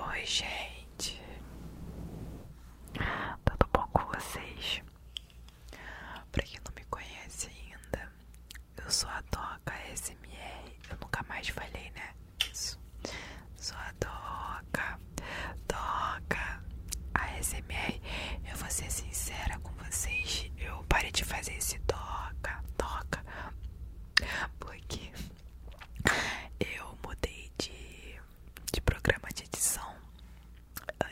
Oi, gente, tudo bom com vocês? Pra quem não me conhece ainda, eu sou a Toca SMR. Eu nunca mais falei, né? Isso, sou a Toca, Toca ASMR. Eu vou ser sincera com vocês, eu parei de fazer esse Toca Toca porque eu mudei de, de programa de edição.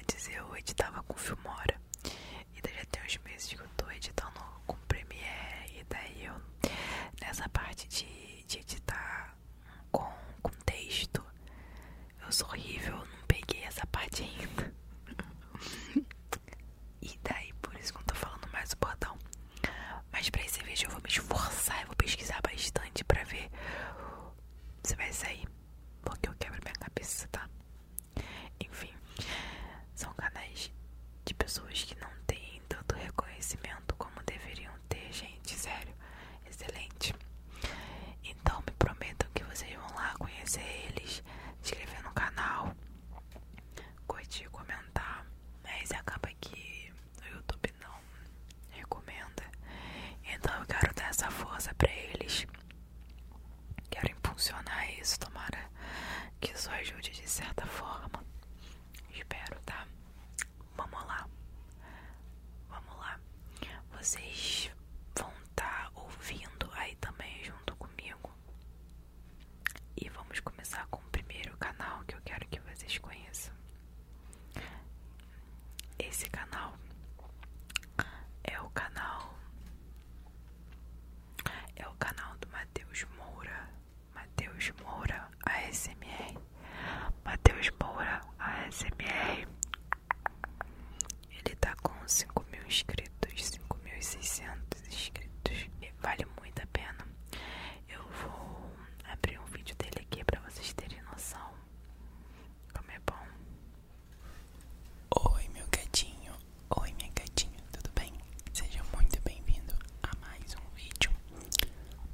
Antes eu editava com Filmora. E daí já tem uns meses que eu tô editando com Premiere. E daí eu, nessa parte de, de editar com, com texto, eu sou horrível, não peguei essa parte ainda. e daí por isso que eu tô falando mais o bordão. Mas pra esse vídeo eu vou me esforçar, eu vou pesquisar bastante pra ver se vai sair, porque eu quebro minha cabeça, tá? Enfim, são canais de pessoas que não têm tanto reconhecimento como deveriam ter, gente, sério, excelente. Então me prometam que vocês vão lá conhecer eles, se inscrever no canal, curtir, comentar, mas acaba que o YouTube não recomenda. Então eu quero dar essa força pra eles. Quero impulsionar isso, tomara que isso ajude de certa forma. Espero, tá? Vamos lá. Vamos lá. Vocês vão estar tá ouvindo aí também junto comigo e vamos começar com o primeiro canal que eu quero que vocês conheçam. Esse canal é o canal é o canal do Matheus Moura, Matheus Moura ASMR, Matheus Moura ASMR. Ele está com 5 mil inscritos, 5.600 dos inscritos. Vale muito a pena. Eu vou abrir um vídeo dele aqui pra vocês terem noção como é bom. Oi, meu gatinho. Oi, minha gatinha. Tudo bem? Seja muito bem-vindo a mais um vídeo.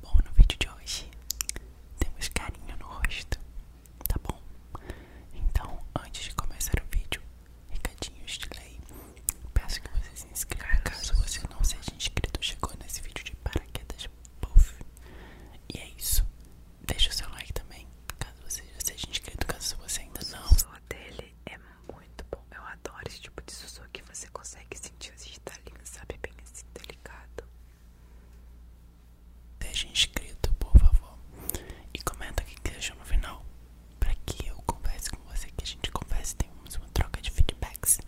Bom, no vídeo de hoje temos carinho no rosto, tá bom? Então, antes de começar o vídeo, recadinhos de lei. Peço que você se inscreva caso você não seja inscrito. Chegou nesse vídeo de paraquedas. Puff. E é isso. Deixa o seu like também. Caso você já seja inscrito, caso você ainda não. O sussurro dele é muito bom. Eu adoro esse tipo de sussurro que você consegue sentir os estalinhos, sabe? Bem assim, delicado. Seja inscrito, por favor. E comenta o que achou no final para que eu converse com você, que a gente converse, temos uma troca de feedbacks.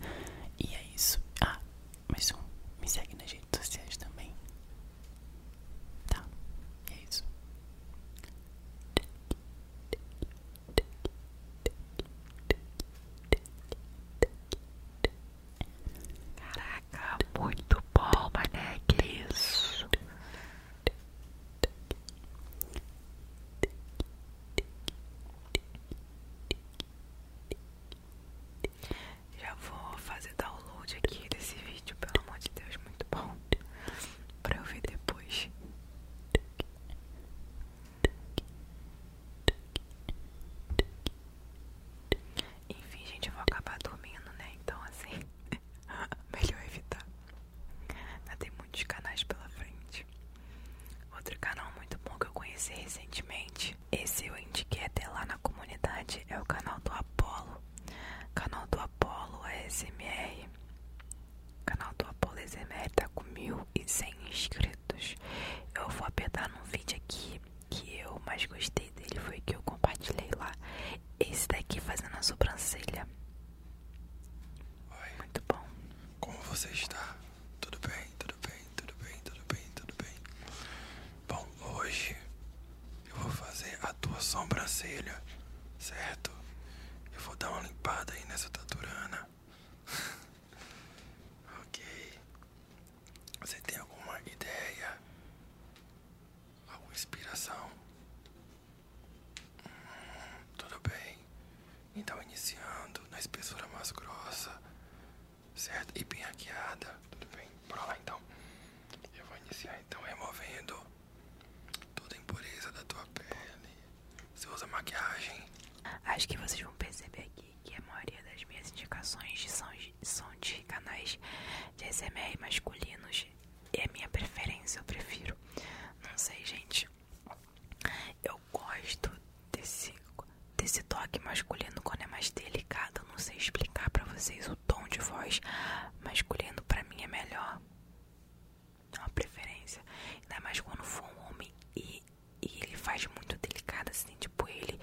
E é isso. Ah, mas um, me segue nas redes sociais também. Tá, e é isso. Caraca, muito bom, mané, que isso. Já vou fazer download aqui desse vídeo, pelo amor de Deus, muito bom. Pra eu ver depois. Enfim, gente, eu vou acabar dormindo, né? Então, assim, melhor evitar. Ainda tem muitos canais pela frente. Outro canal muito bom que eu conheci recentemente, esse eu indiquei até lá na comunidade, é o canal do Apollo. Canal do Apollo ASMR. canal do Apolo ASMR tá com 1.100 inscritos. Eu vou apertar num vídeo aqui que eu mais gostei dele, foi que eu compartilhei lá. Esse daqui fazendo a sobrancelha. Oi. Muito bom. Como você está? Tudo bem, tudo bem, tudo bem, tudo bem, tudo bem. Bom, hoje eu vou fazer a tua sobrancelha, certo? Eu vou dar uma limpada aí nessa taturana. ok. Você tem alguma ideia? Alguma inspiração? tudo bem. Então, iniciando na espessura mais grossa, certo? E bem hackeada. Tudo bem? Bora lá então. Eu vou iniciar então removendo toda a impureza da tua pele. Você usa maquiagem? Acho que vocês vão perceber aqui que a maioria das minhas indicações são, são de canais de SMR masculinos. é minha preferência, eu prefiro. Não sei, gente. Eu gosto desse, desse toque masculino quando é mais delicado. não sei explicar pra vocês o tom de voz masculino pra mim é melhor. É uma preferência. Ainda mais quando for um homem e, ele faz muito delicado, assim, tipo ele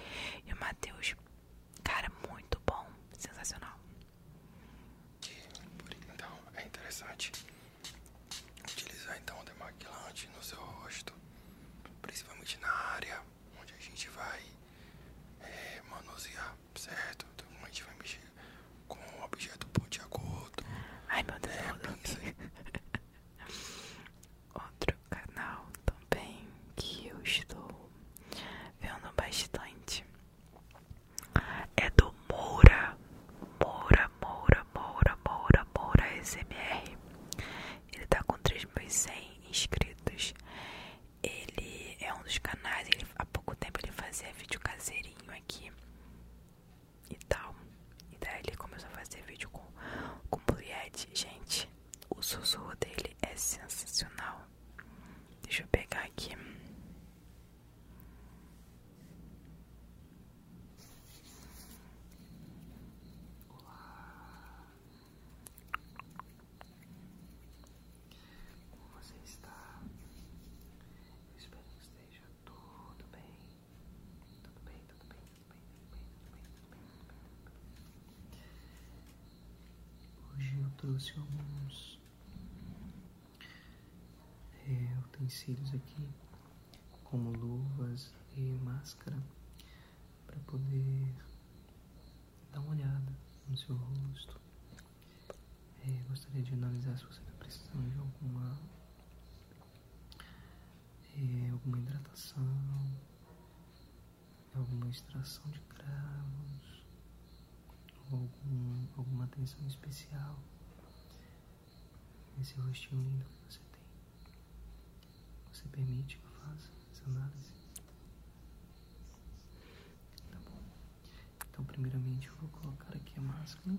e o Matheus. Cara, muito bom. Sensacional. Então, é interessante. Utilizar então o demaquilante no seu rosto, principalmente na área onde a gente vai eh, manusear, certo? Então a gente vai mexer com um objeto pontiagudo. Ai meu Deus, é, Outro canal também que eu estou vendo bastante é do Moura, Moura, Moura, Moura, Moura, Moura SMR. Ele tá com 3.100 inscritos. Ele é um dos canais, ele, há pouco tempo ele fazia vídeo caseirinho aqui e tal. E daí ele começou a fazer vídeo com, com Juliette. Gente, o sussurro dele é sensacional. Deixa eu pegar aqui. Olá, como você está? Eu espero que esteja tudo bem, tudo bem, tudo bem, tudo bem, tudo bem, tudo bem, tudo bem, Hoje eu trouxe alguns é, utensílios aqui, como luvas e máscara, para poder dar uma olhada no seu rosto. É, gostaria de analisar se você está precisando de alguma, é, alguma hidratação, alguma extração de cravos algum, alguma atenção especial nesse rostinho lindo que você tem. Você permite que eu faça essa análise? Tá bom. Então, primeiramente, eu vou colocar aqui a máscara.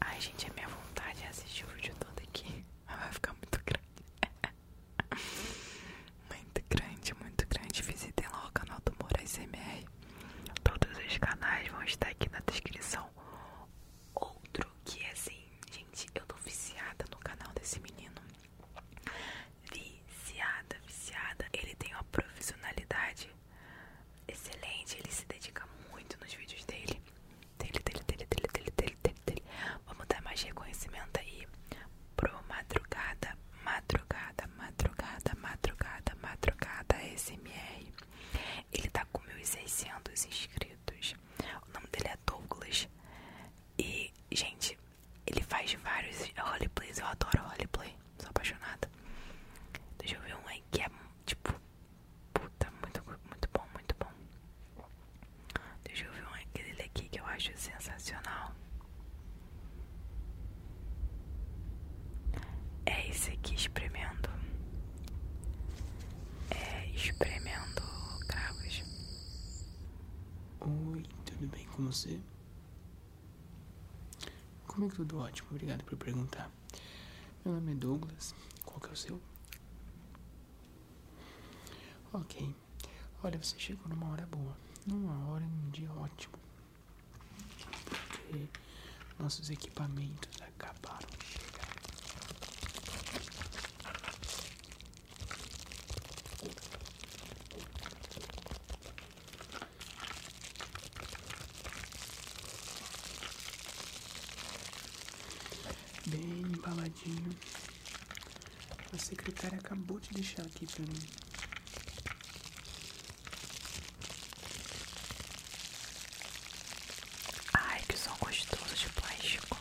Ai, gente, é minha vontade é assistir o vídeo todo aqui. Vai ficar muito grande. muito grande, muito grande. Visitem lá o canal do Moraes MR. Todos os canais vão estar aqui na descrição. Outro que é assim, gente, eu tô viciada no canal desse menino. Viciada, viciada. Ele tem uma profissionalidade excelente, ele se dedica muito nos vídeos dele dele, dele, dele, dele, dele, dele, dele, Vamos dar mais reconhecimento aí pro madrugada, madrugada, madrugada, madrugada, madrugada SMR. Ele tá com 1.600 inscritos. O nome dele é Douglas. E, gente, ele faz vários roleplays. Eu adoro hollyplay sou apaixonada. Deixa eu ver um aí que é tipo Puta, muito, muito bom, muito bom. Deixa eu ver um aquele aqui que eu acho sensacional. É esse aqui espremendo. É espremendo cravos. Oi, tudo bem com você? como é que tudo ótimo, obrigado por perguntar. Meu nome é Douglas. Qual que é o seu? Ok. Olha, você chegou numa hora boa. Numa hora, e um dia ótimo. Porque nossos equipamentos acabaram de chegar. Bem embaladinho. A secretária acabou de deixar aqui para mim. Ai, que som gostoso de plástico.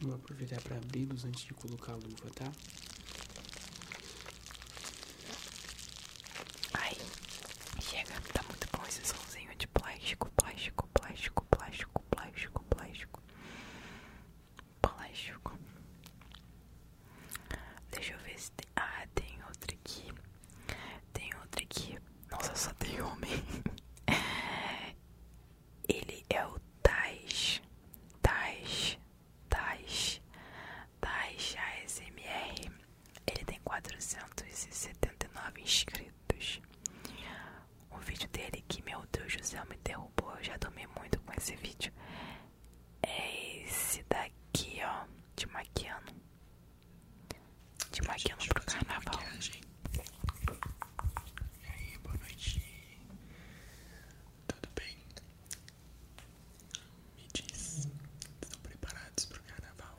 Vou aproveitar para abri antes de colocar a luva, tá? Ai, chega, tá muito bom esse somzinho de plástico, plástico, plástico, plástico, plástico, plástico, plástico. Deixa eu ver se tem. Ah, tem outro aqui. Tem outro aqui. Nossa, só tem homem. Ele é o Tais, Tais, Tais, Tais ASMR. Ele tem 479 inscritos. O vídeo dele que, meu Deus do céu, me derrubou. Eu já dormi muito com esse vídeo. É esse daqui, ó, de maquiano de maquiando pro carnaval. E aí, boa noite. Tudo bem? Me diz, estão preparados pro carnaval?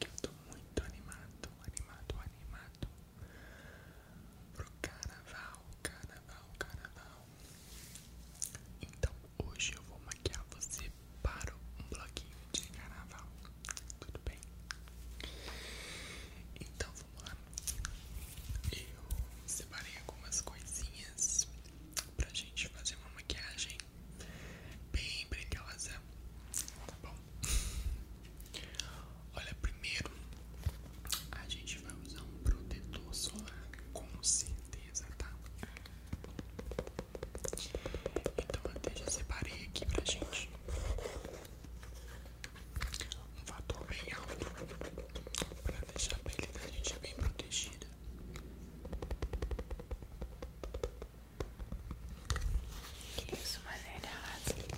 Que eu tô muito animado, animado, animado. Pro carnaval, carnaval, carnaval. Então hoje eu vou maquiar você para um bloquinho de carnaval. Tudo bem? Então vamos lá. Eu separei algumas coisinhas pra gente fazer uma maquiagem bem brilhosa, tá bom? Olha, primeiro a gente vai usar um protetor solar, com certeza, tá? Então até já separei aqui pra gente. Um fator bem alto para deixar a pele da gente bem protegida. Isso, maneiras.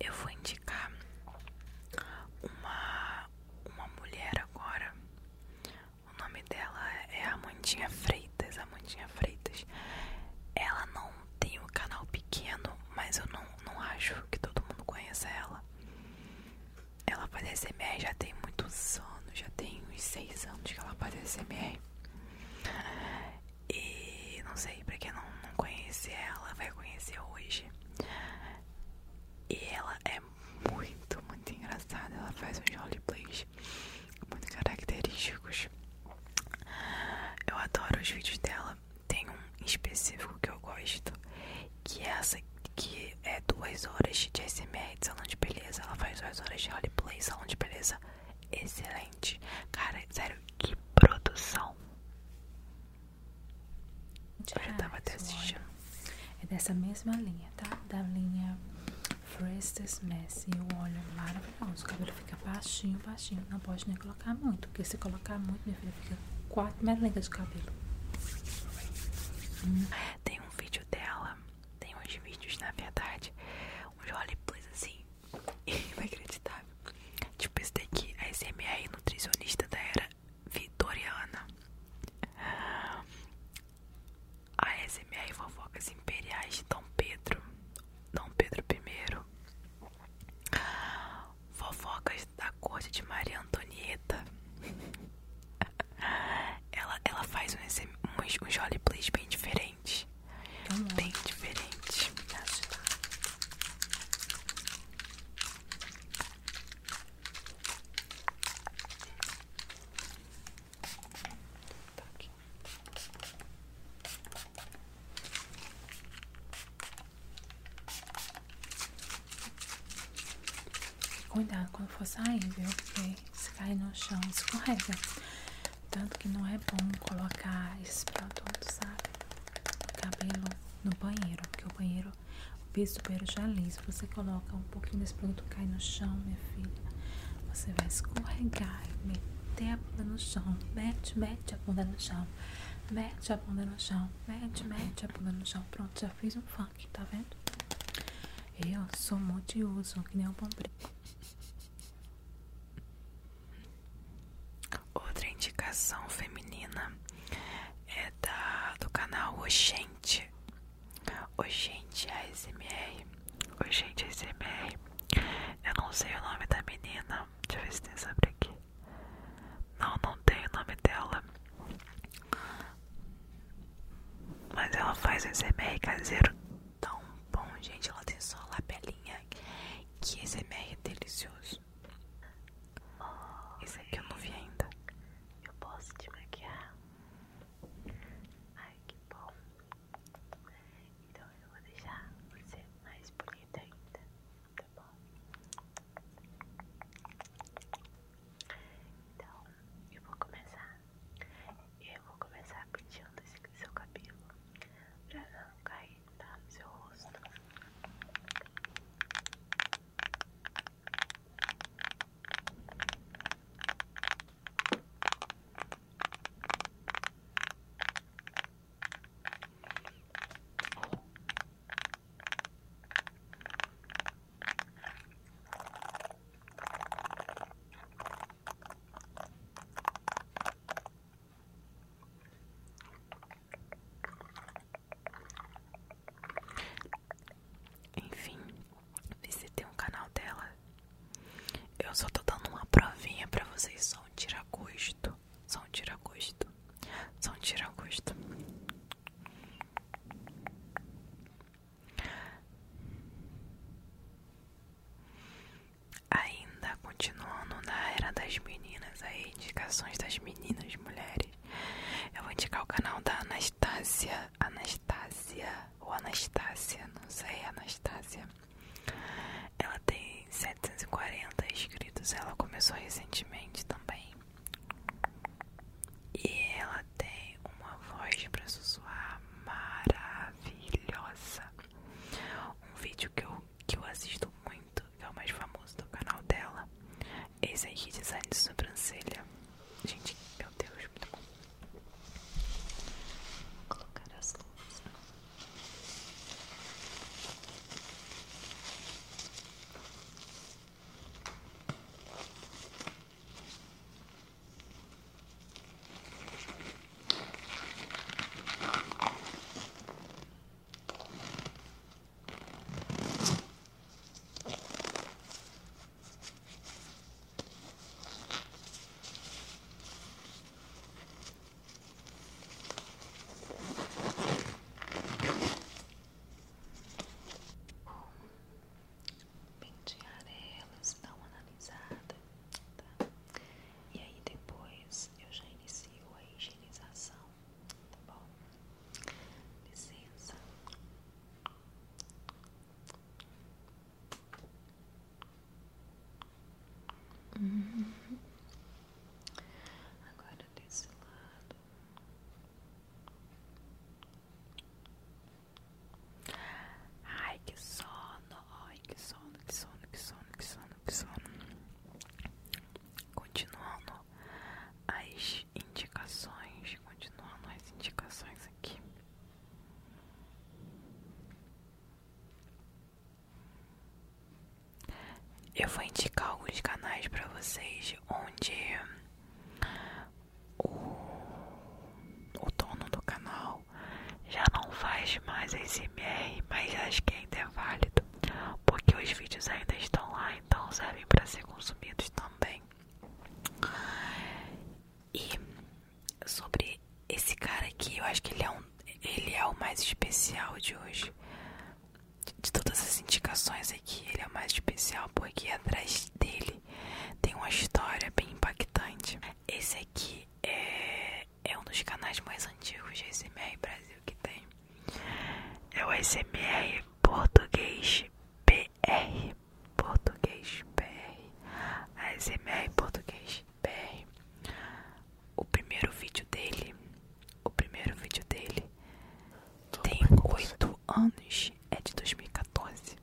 Eu vou indicar uma, uma mulher agora. O nome dela é Amandinha Freitas. Amandinha Freitas. Ela não tem um canal pequeno, mas eu não, não acho que todo mundo conheça ela. Ela faz ASMR já tem muitos anos, já tem uns 6 anos que ela faz ASMR. E não sei, pra quem não, conhece ela, vai conhecer hoje. E ela é muito, muito engraçada. Ela faz uns roleplays muito característicos. Eu adoro os vídeos dela. Tem um específico que eu gosto, que é essa que é duas horas de ASMR de salão de beleza. Ela faz duas horas de roleplay, salão de beleza. Excelente. Cara, sério, que produção. Eu já tava até assistindo. É dessa mesma linha, tá? Da linha Frances Messi, um óleo maravilhoso. O cabelo fica baixinho, baixinho. Não pode nem colocar muito, porque se colocar muito, minha filha, fica quatro melencas de cabelo. Hum. Tem um vídeo dela, tem uns vídeos, na verdade, uns roleplays assim, inacreditável. Tipo esse daqui, a SMR nutricionista da era vitoriana. A SMR Fofocas Imperiais de Dom Pedro, Dom Pedro I, fofocas da corte de Maria Antonieta. ela, ela faz uns, uns, uns bem diferentes. Bem diferentes. Tá Cuidado quando for sair, viu? Porque se cai no chão escorrega. Tanto que não é bom colocar esse produto, sabe? cabelo no banheiro, porque o banheiro, o piso do banheiro já é liso. Você coloca um pouquinho desse produto, cai no chão, minha filha. Você vai escorregar e meter tem a bunda no chão. Mete, mete a bunda no chão. Mete a bunda no chão. Mete, mete a bunda no chão. Pronto, já fiz um funk, tá vendo? Eu sou multiuso, que nem o bombril. Outra indicação feminina é da, do canal Oxente. Oxente ASMR. Oi, gente, é SMR. Eu não sei o nome da menina. Deixa eu ver se tem sobre aqui. Não, não tem o nome dela. Mas ela faz o SMR caseiro tão bom, gente. Ela tem só a lapelinha. Que SMR é delicioso. Esse aqui eu não vi ainda. Eu posso te maquiar? Ai, que bom. Então eu vou deixar você mais bonita ainda, tá bom? Então eu vou começar. Eu vou começar penteando seu cabelo pra não cair tá, no seu rosto. Então, enfim, tem um canal dela eu só tô dando uma provinha pra vocês, só um tira-gosto. Só um tira-gosto. Só um tira-gosto. Ainda continuando na era das meninas, aí indicações das meninas, mulheres. Eu vou indicar o canal da Anastácia, Anastácia ou Anastácia, não sei, Anastácia. Ela tem 740 inscritos, ela começou recentemente também. E ela tem uma voz para sussurrar maravilhosa. Um vídeo que eu, que eu assisto muito, que é o mais famoso do canal dela. Esse aí, é design de sobrancelha. Gente, meu Deus, muito bom colocar as luzes. Pentear elas, dá uma analisada, tá? E aí depois eu já inicio a higienização, tá bom? Licença. Agora desse lado. Ai, que sono, ai, que sono, que sono, que sono, que sono, que sono. Continuando as indicações, continuando as indicações aqui. Eu vou indicar alguns canais para vocês onde o, dono do canal já não faz mais SMR, mas acho que ainda é válido, porque os vídeos ainda estão lá, então servem para ser consumidos também. E sobre esse cara aqui, eu acho que ele é, um, ele é o mais especial de hoje. De, todas as indicações aqui, ele é o mais especial porque atrás dele tem uma história bem impactante. Esse aqui é, é um dos canais mais antigos de SMR Brasil que tem. É o SMR Português PR. Português BR, ASMR Português BR. O primeiro vídeo dele, o primeiro vídeo dele tem 8 anos, é de 2014.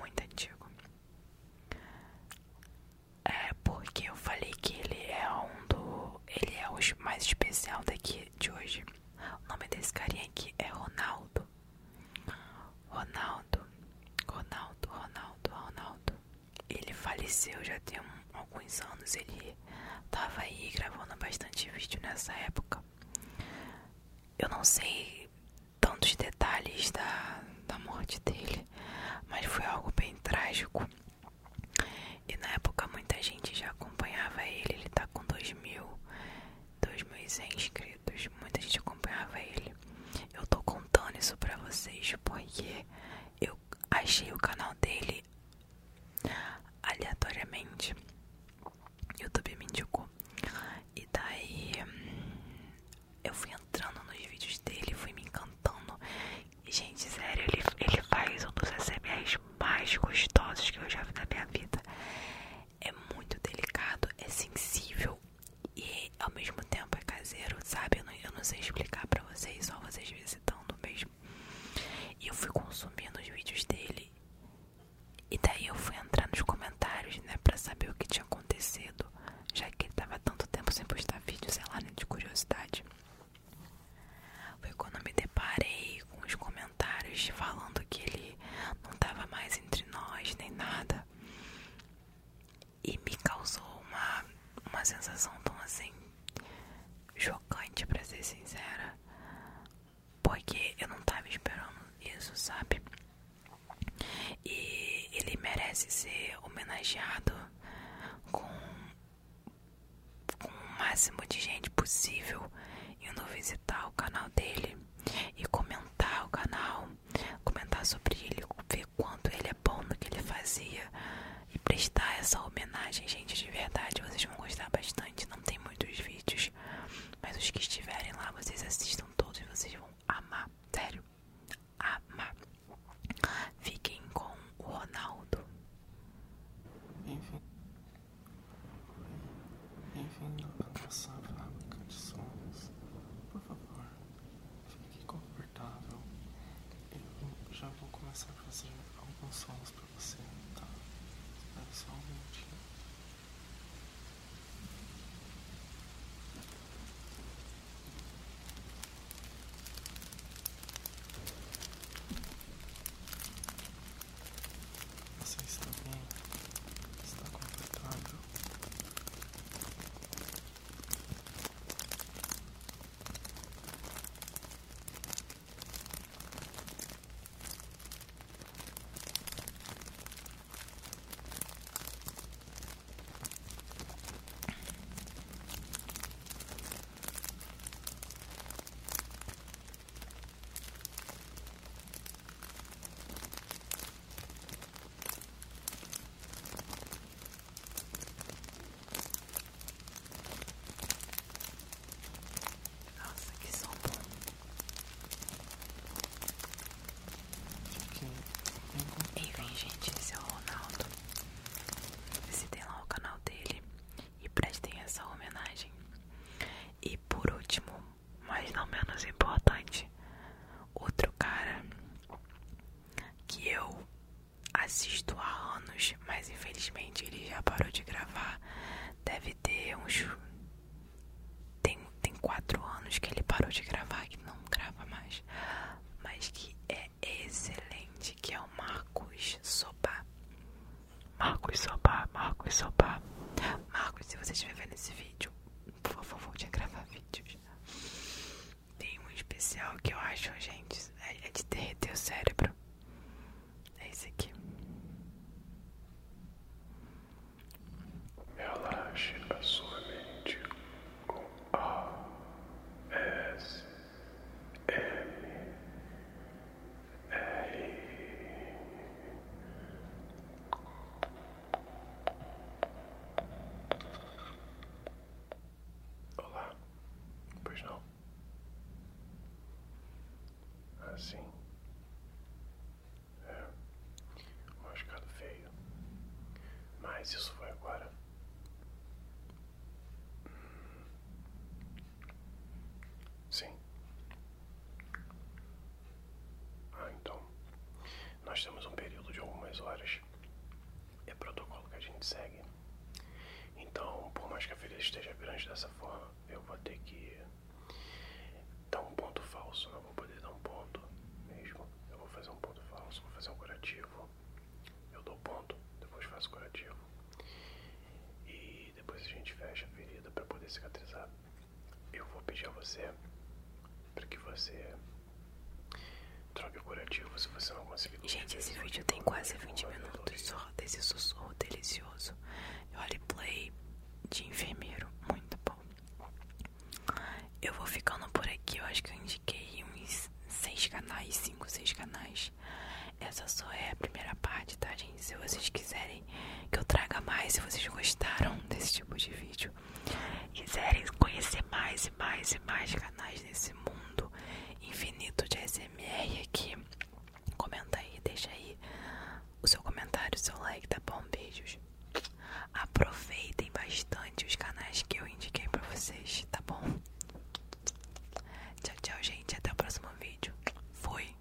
Muito antigo. É porque eu falei que ele é um do. Ele é o mais especial daqui de hoje. O nome desse carinha aqui é Ronaldo Ronaldo, Ronaldo, Ronaldo, Ronaldo. Ele faleceu já tem alguns anos. Ele tava aí gravando bastante vídeo nessa época. Eu não sei tantos detalhes da, da morte dele, mas foi algo bem trágico. E na época muita gente já acompanhava ele. Ele tá com 2 mil 2.100 inscritos. Muita gente acompanhava ele. Eu tô contando isso pra vocês porque eu achei o canal dele aleatoriamente. YouTube me indicou. E daí eu fui entrando nos vídeos dele, fui me encantando. E, gente, sério, ele, ele faz um dos ASMRs mais gostosos que eu já vi na minha vida é muito delicado, é sensível e ao mesmo tempo é caseiro, sabe? Eu não, sei explicar pra vocês, só vocês visitando mesmo. E eu fui consumindo os vídeos dele. E daí eu fui entrar nos comentários, né, pra saber o que tinha acontecido, já que ele tava tanto tempo sem postar vídeos sei lá, né, de curiosidade. Foi quando me deparei com os comentários falando que ele não tava mais entre nós, nem nada. E me causou uma, uma sensação tão assim chocante, pra ser sincera. Porque eu não tava esperando isso, sabe? E ele merece ser homenageado com, com o máximo de gente possível. E eu não fiz o canal dele e comentar o canal, comentar sobre ele, ver quanto ele é bom no que ele fazia e prestar essa homenagem, gente, de verdade, vocês vão gostar bastante, não tem muitos vídeos, mas os que estiverem lá, vocês assistam todos e vocês vão amar, sério, amar. Fiquem com o Ronaldo. Bem-vindo à nossa fábrica de sonhos. Por favor, fique confortável. Eu já vou começar a fazer alguns sons para você, tá? Espera só um minutinho. Você está bem? Está confortável? Nossa, que som bom. Enfim, gente, esse é o Ronaldo. Visitem lá o canal dele e prestem essa homenagem. E por último, mas não menos importante, outro cara que eu assisto há anos, mas infelizmente ele já parou de gravar. Deve ter uns. Tem, tem quatro anos que ele parou de gravar, que não grava mais, mas que é excelente, que é o Marcos Sopá Marcos Sopá Marcos Sopá Marcos, se você estiver vendo esse vídeo vídeo. Por favor, volte a gravar vídeos. Tem um especial que eu acho, gente, é, é de derreter o cérebro. É esse aqui. Relaxe a sua mente com A S M é. Olá, pois não? Assim é um machucado feio, mas isso foi agora. Sim, ah, então. Nós temos um período de algumas horas. É protocolo que a gente segue. Então, por mais que a ferida esteja grande dessa forma, eu vou ter que dar um ponto falso. Não vou poder dar um ponto mesmo. Eu vou fazer um ponto falso, vou fazer um curativo. Eu dou ponto, depois faço curativo. E depois a gente fecha a ferida para poder cicatrizar eu vou pedir a você para que você troque o curativo se você não conseguir. Gente, esse vídeo tem quase 20 minutos só desse sussurro delicioso. Eu olhei play de enfermeiro, muito bom. Eu vou ficando por aqui, eu acho que eu indiquei uns 6 canais, 5, 6 canais. Essa só é a primeira parte, tá, gente? Se vocês quiserem que eu traga mais se vocês gostaram desse tipo de vídeo quiserem conhecer mais e mais e mais canais nesse mundo infinito de SMR aqui comenta aí deixa aí o seu comentário o seu like tá bom beijos aproveitem bastante os canais que eu indiquei para vocês tá bom tchau tchau gente até o próximo vídeo fui